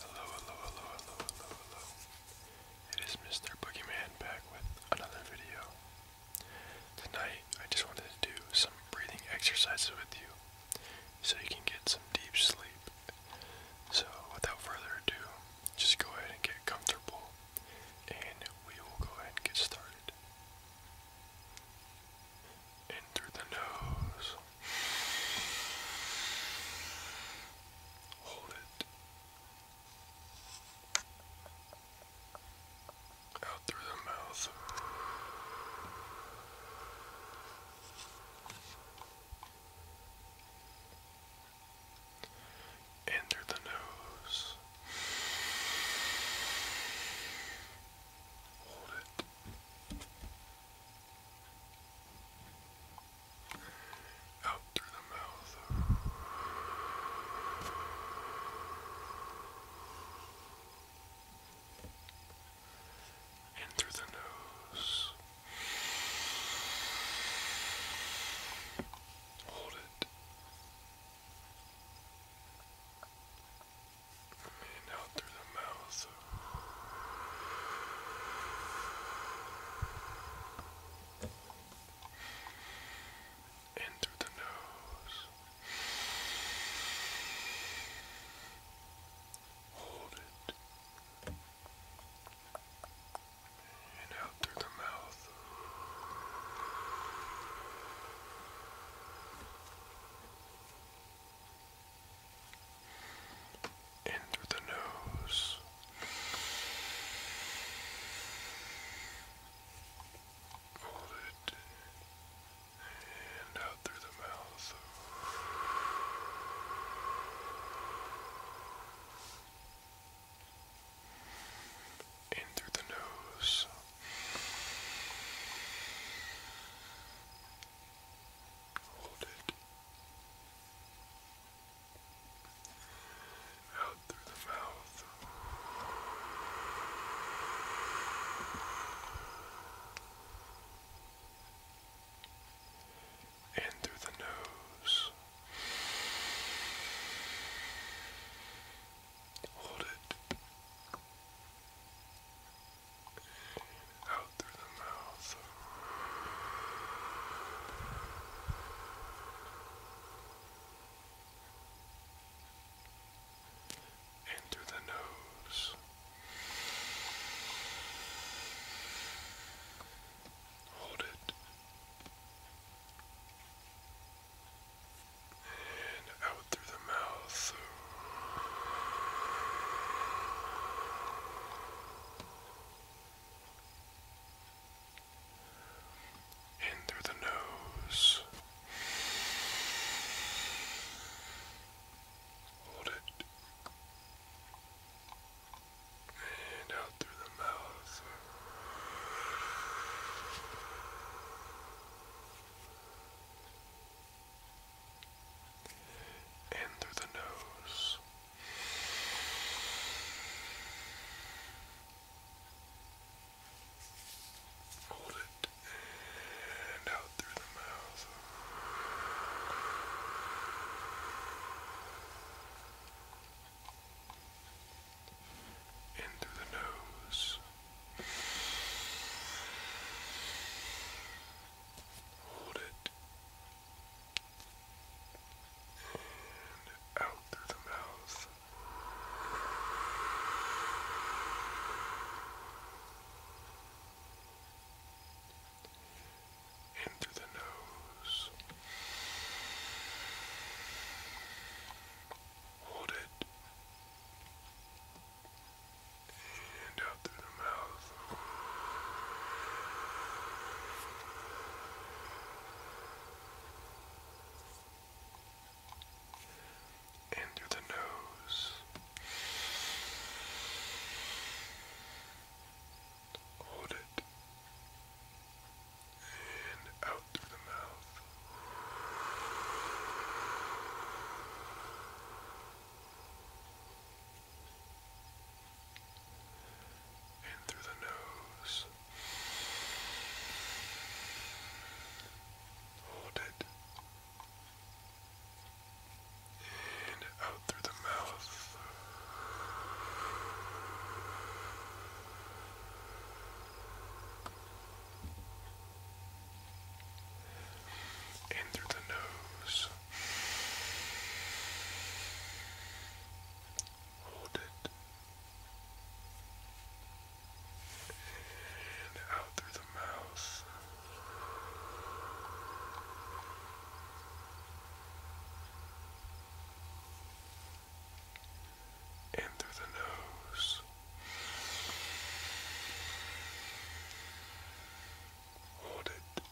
Hello, hello, hello, hello, hello, hello. It is Mr. Boogeyman back with another video. Tonight, I just wanted to do some breathing exercises with you so you can get some deep sleep. So, without further ado, just go ahead and get comfortable and we will go ahead and get started. In the nose. Hold it. Out through the mouth. In through the nose. Hold it out through the mouth. In through the nose. Hold it. And out through the mouth. In through the nose. Hold it. And out through the mouth in through the nose. Hold it and out through the mouth. In through the nose. Hold it out through the mouth. And through the nose. Hold it out through the mouth. And through the nose. Hold it. And out through the mouth. In through the nose. Hold it. And out through the mouth in through the nose. Hold it and out through the mouth. In the nose. Hold it and out through the mouth. In through the nose. Hold it and out through the mouth. And through the nose. Hold it. And out through the mouth in through the nose. Hold it. And out through the mouth. In through the nose. Hold it. And out through the mouth. And through the nose. Hold it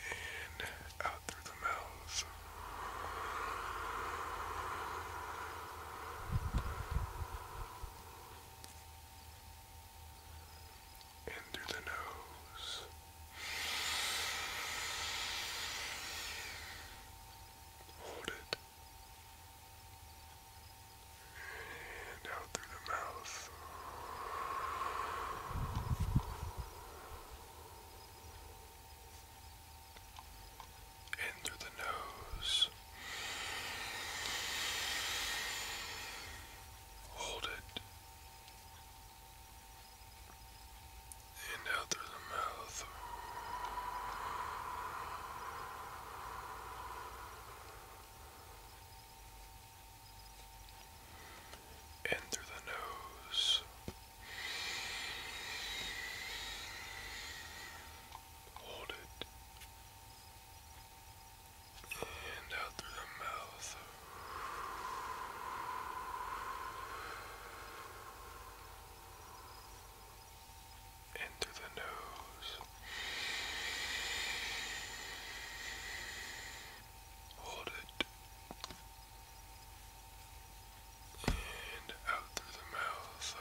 in, out through the mouth. And through the nose. Hold it and out through the mouth. In through the nose. Hold it. And out through the mouth in through the nose, hold it, and out through the mouth. In through the nose, Hold it. And out through the mouth.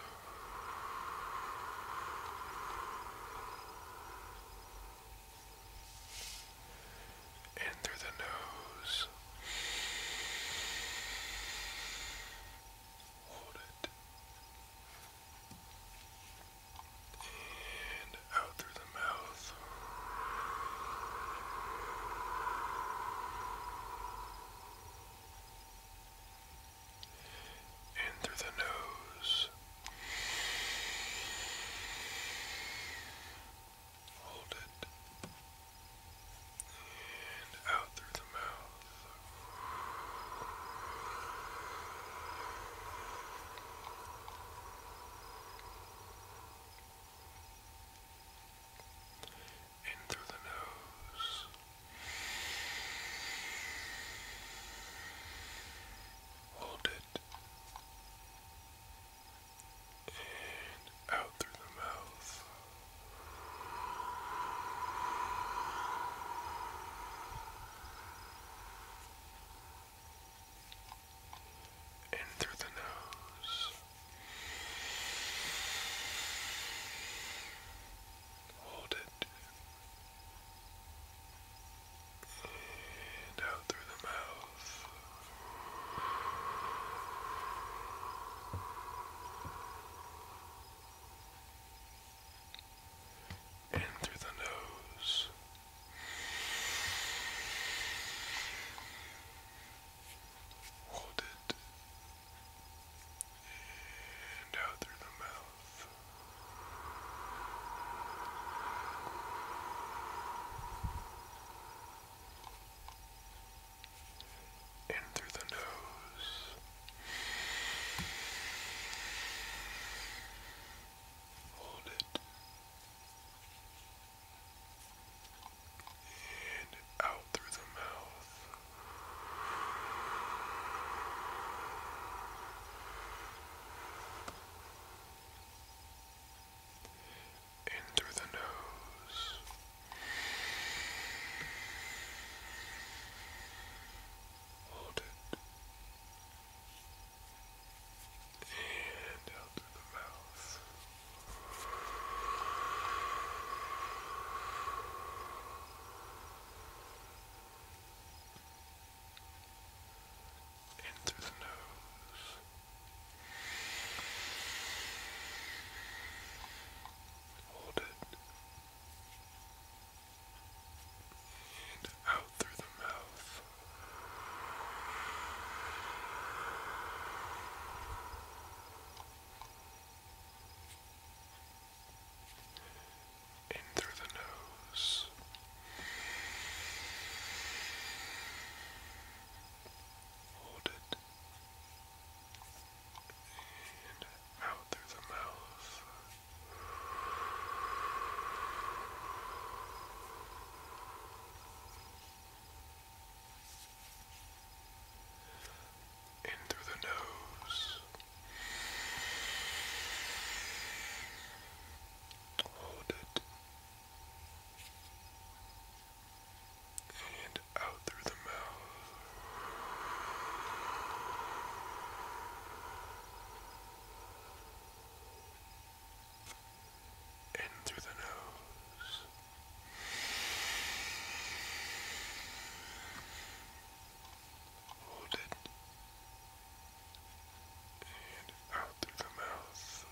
And through the nose. Hold it and out through the mouth. In through the nose. Hold it. And out through the mouth. In through the nose. Hold it. And out through the mouth. And through the nose, hold it, and out through the mouth in through the nose. Hold it and out through the mouth. In through the nose. Hold it. And out through the mouth. In through the nose. Hold it. And out through the mouth. In the nose. Hold it and out through the mouth. In through the nose, hold it, and out through the mouth. In through the nose, hold it, and out through the mouth. In through the nose. Hold it. And out through the mouth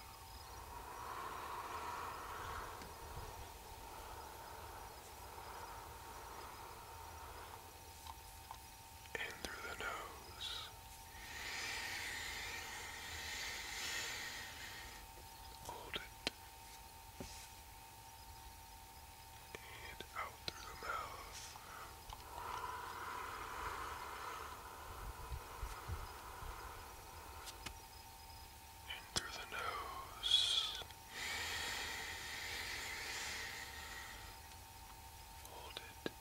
in through the nose. Hold it. And out through the mouth. In through the nose. Hold it in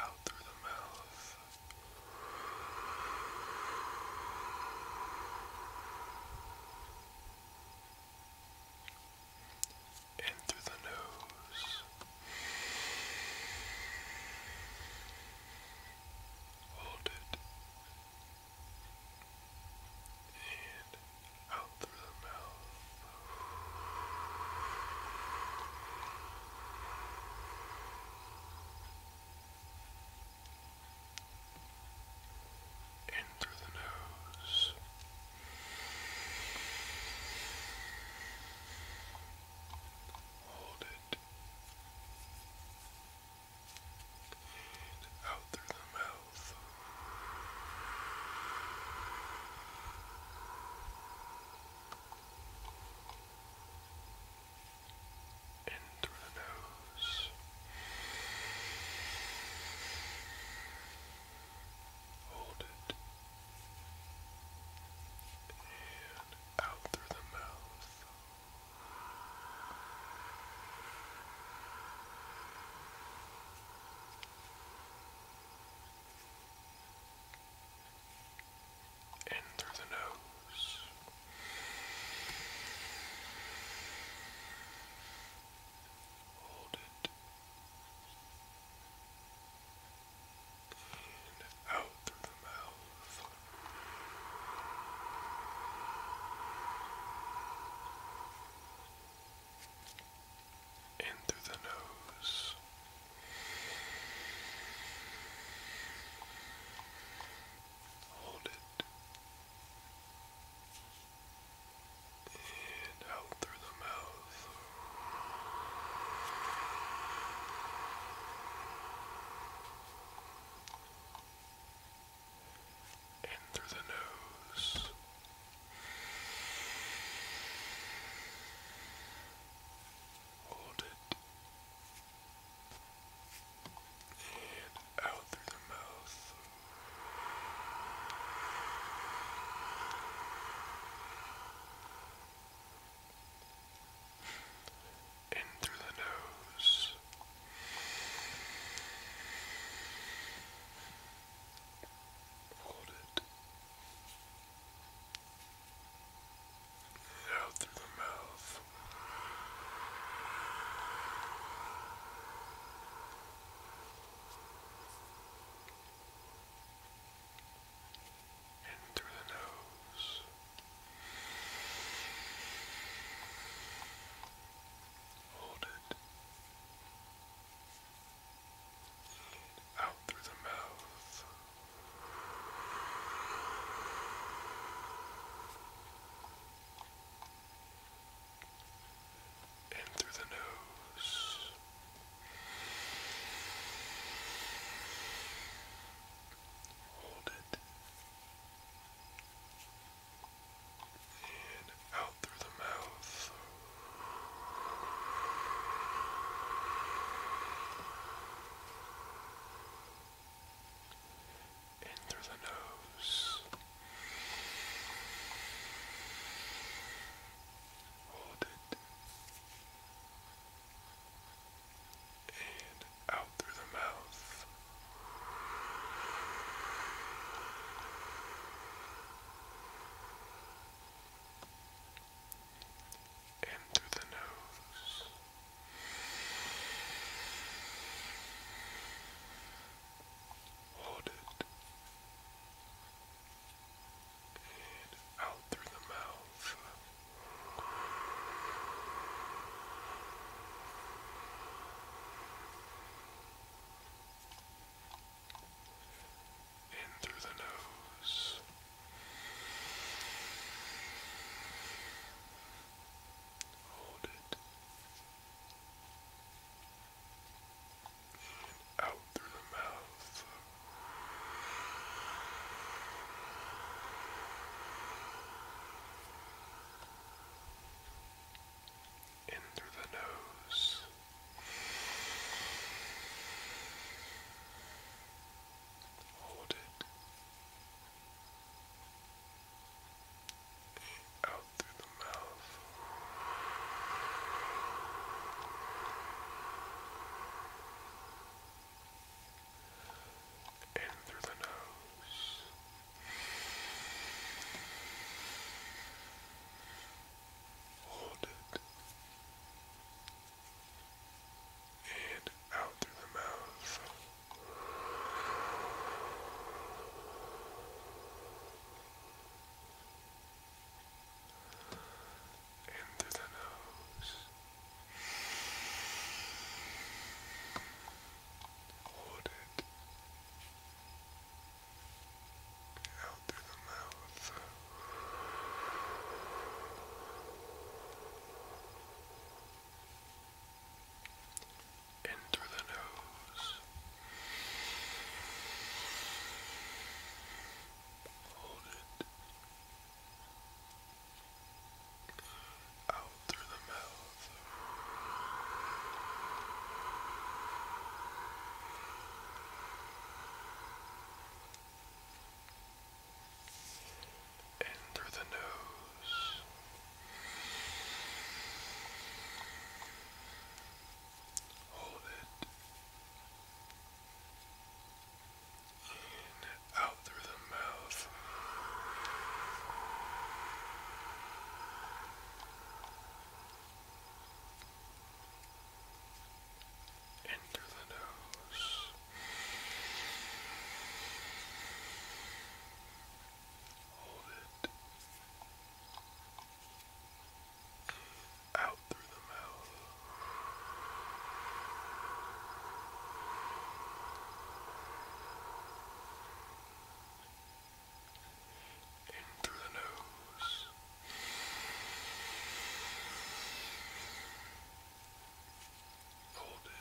out through the mouth. And through the nose. Hold it and out through the mouth. In through the nose. Hold it. And out through the mouth mouth. In through the nose. Hold it. And out through the mouth. In through the nose. Hold it. And out through the mouth in through the nose. Hold it. And out through the mouth in through the nose. Hold it. And out through the mouth. In through the nose this. Hold it out through the mouth. In through the nose. Hold it out through the mouth. And through the nose, hold it in out through the mouth. In through the nose. Hold it. And out through the mouth and through the nose. Hold it. And out through the mouth. In through the nose. Hold it. And out through the mouth in through the nose. Hold it. Out through the mouth. In through the nose. Hold it. And out through the mouth. And the nose. Hold it out through the mouth. In through the nose. Hold it. Out through the mouth in through the nose. Hold it in out through the mouth in through the nose. Hold it out through the mouth in through the nose. Hold it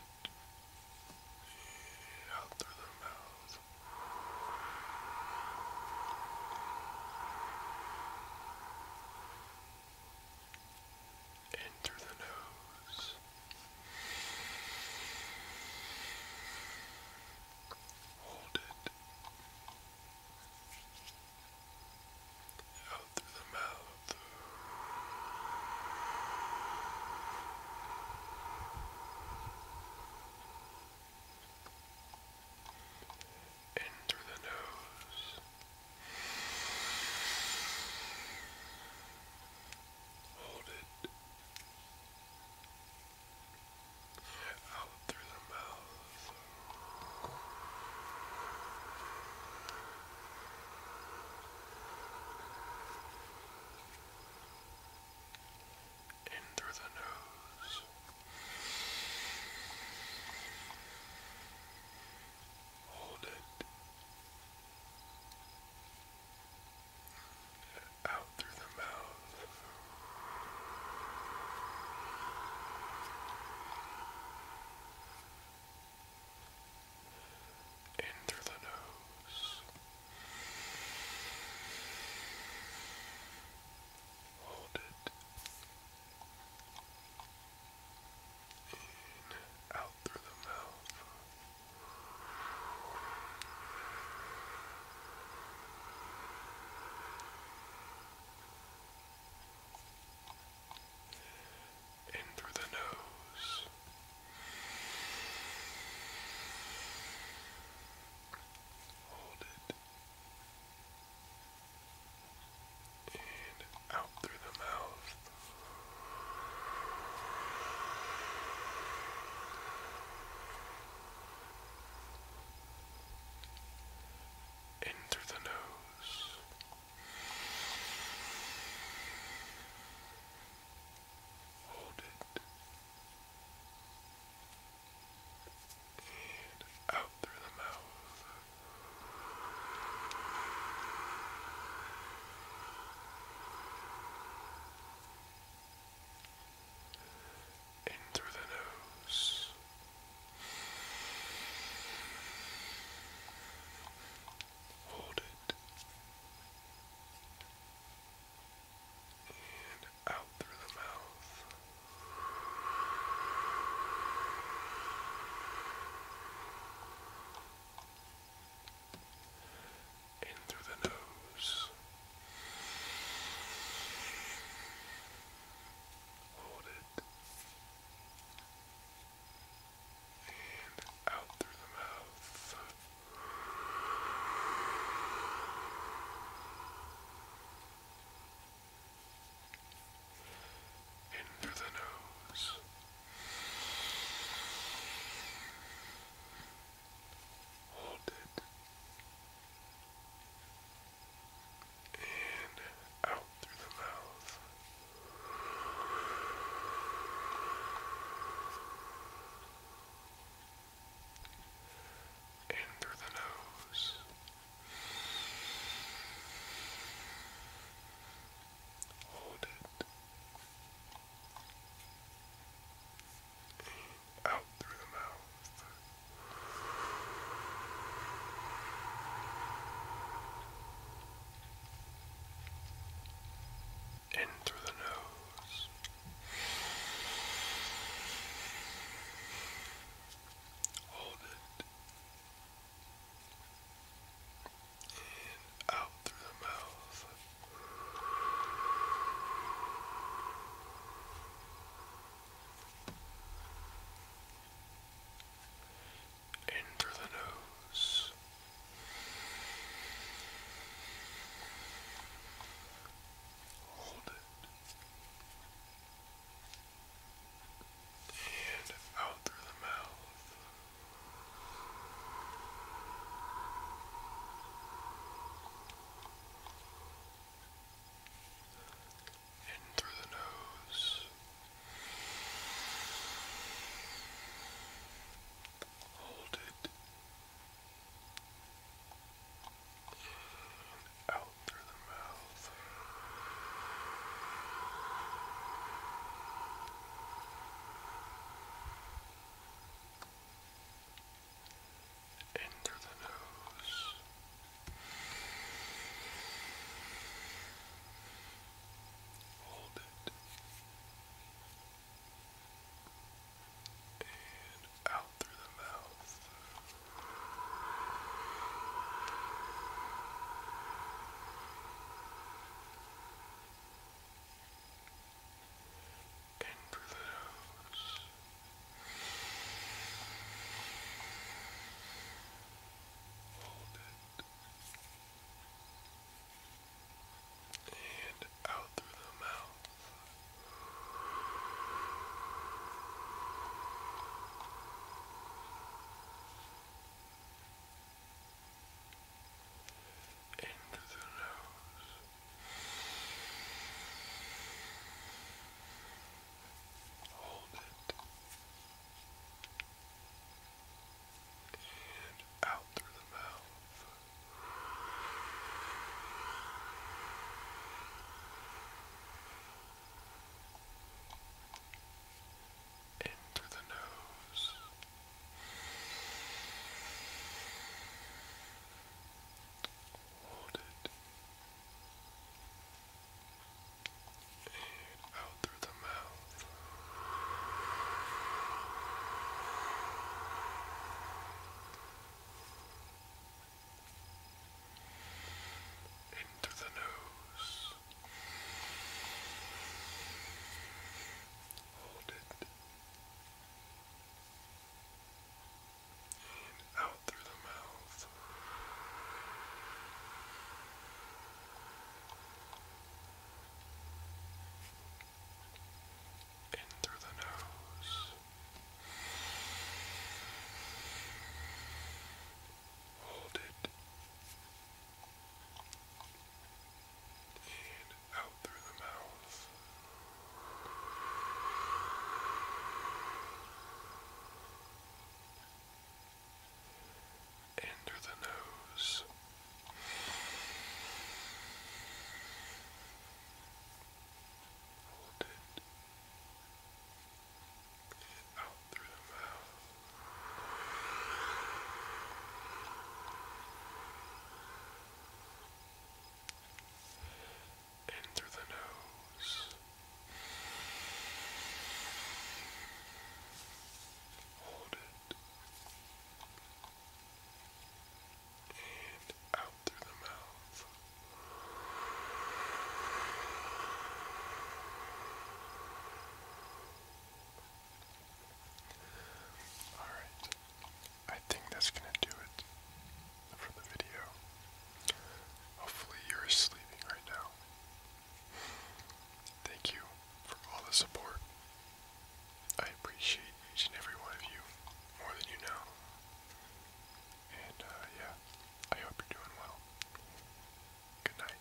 out through the mouth. In through the nose. Hold it out through the mouth. In through the nose. Hold it out through the mouth. In through the nose. Hold it out through the mouth. In through the nose. Hold it. In, out through the mouth. In through the nose. Hold it. And out through the mouth in through the nose. Hold it. And out through the mouth in through the nose. Hold it. And out through the mouth in through the nose. Hold it. And out through the mouth. In through the nose. Hold it. And out through the mouth. In through the nose. Hold it out through the mouth. In through the nose. Hold it. And out through the mouth. In through the nose. Hold it. And out through the mouth in through the nose, hold it, and out through the mouth in the nose. Hold it. And out through the mouth in through the nose. Hold it. And out through the mouth. Into the nose. Hold it. And out through the mouth. In through the nose. Hold it. And out through the mouth. In through the nose. Hold it out through the mouth. In through the nose. Hold it. And out out through the mouth. Enter the nose. Hold it. Out through the mouth in through the nose, hold it, and out through the mouth. All right, I think that's going to do it for the video. Hopefully, you're sleeping right now. Thank you for all the support. I appreciate each and every one of you more than you know. And, uh, yeah, I hope you're doing well. Good night.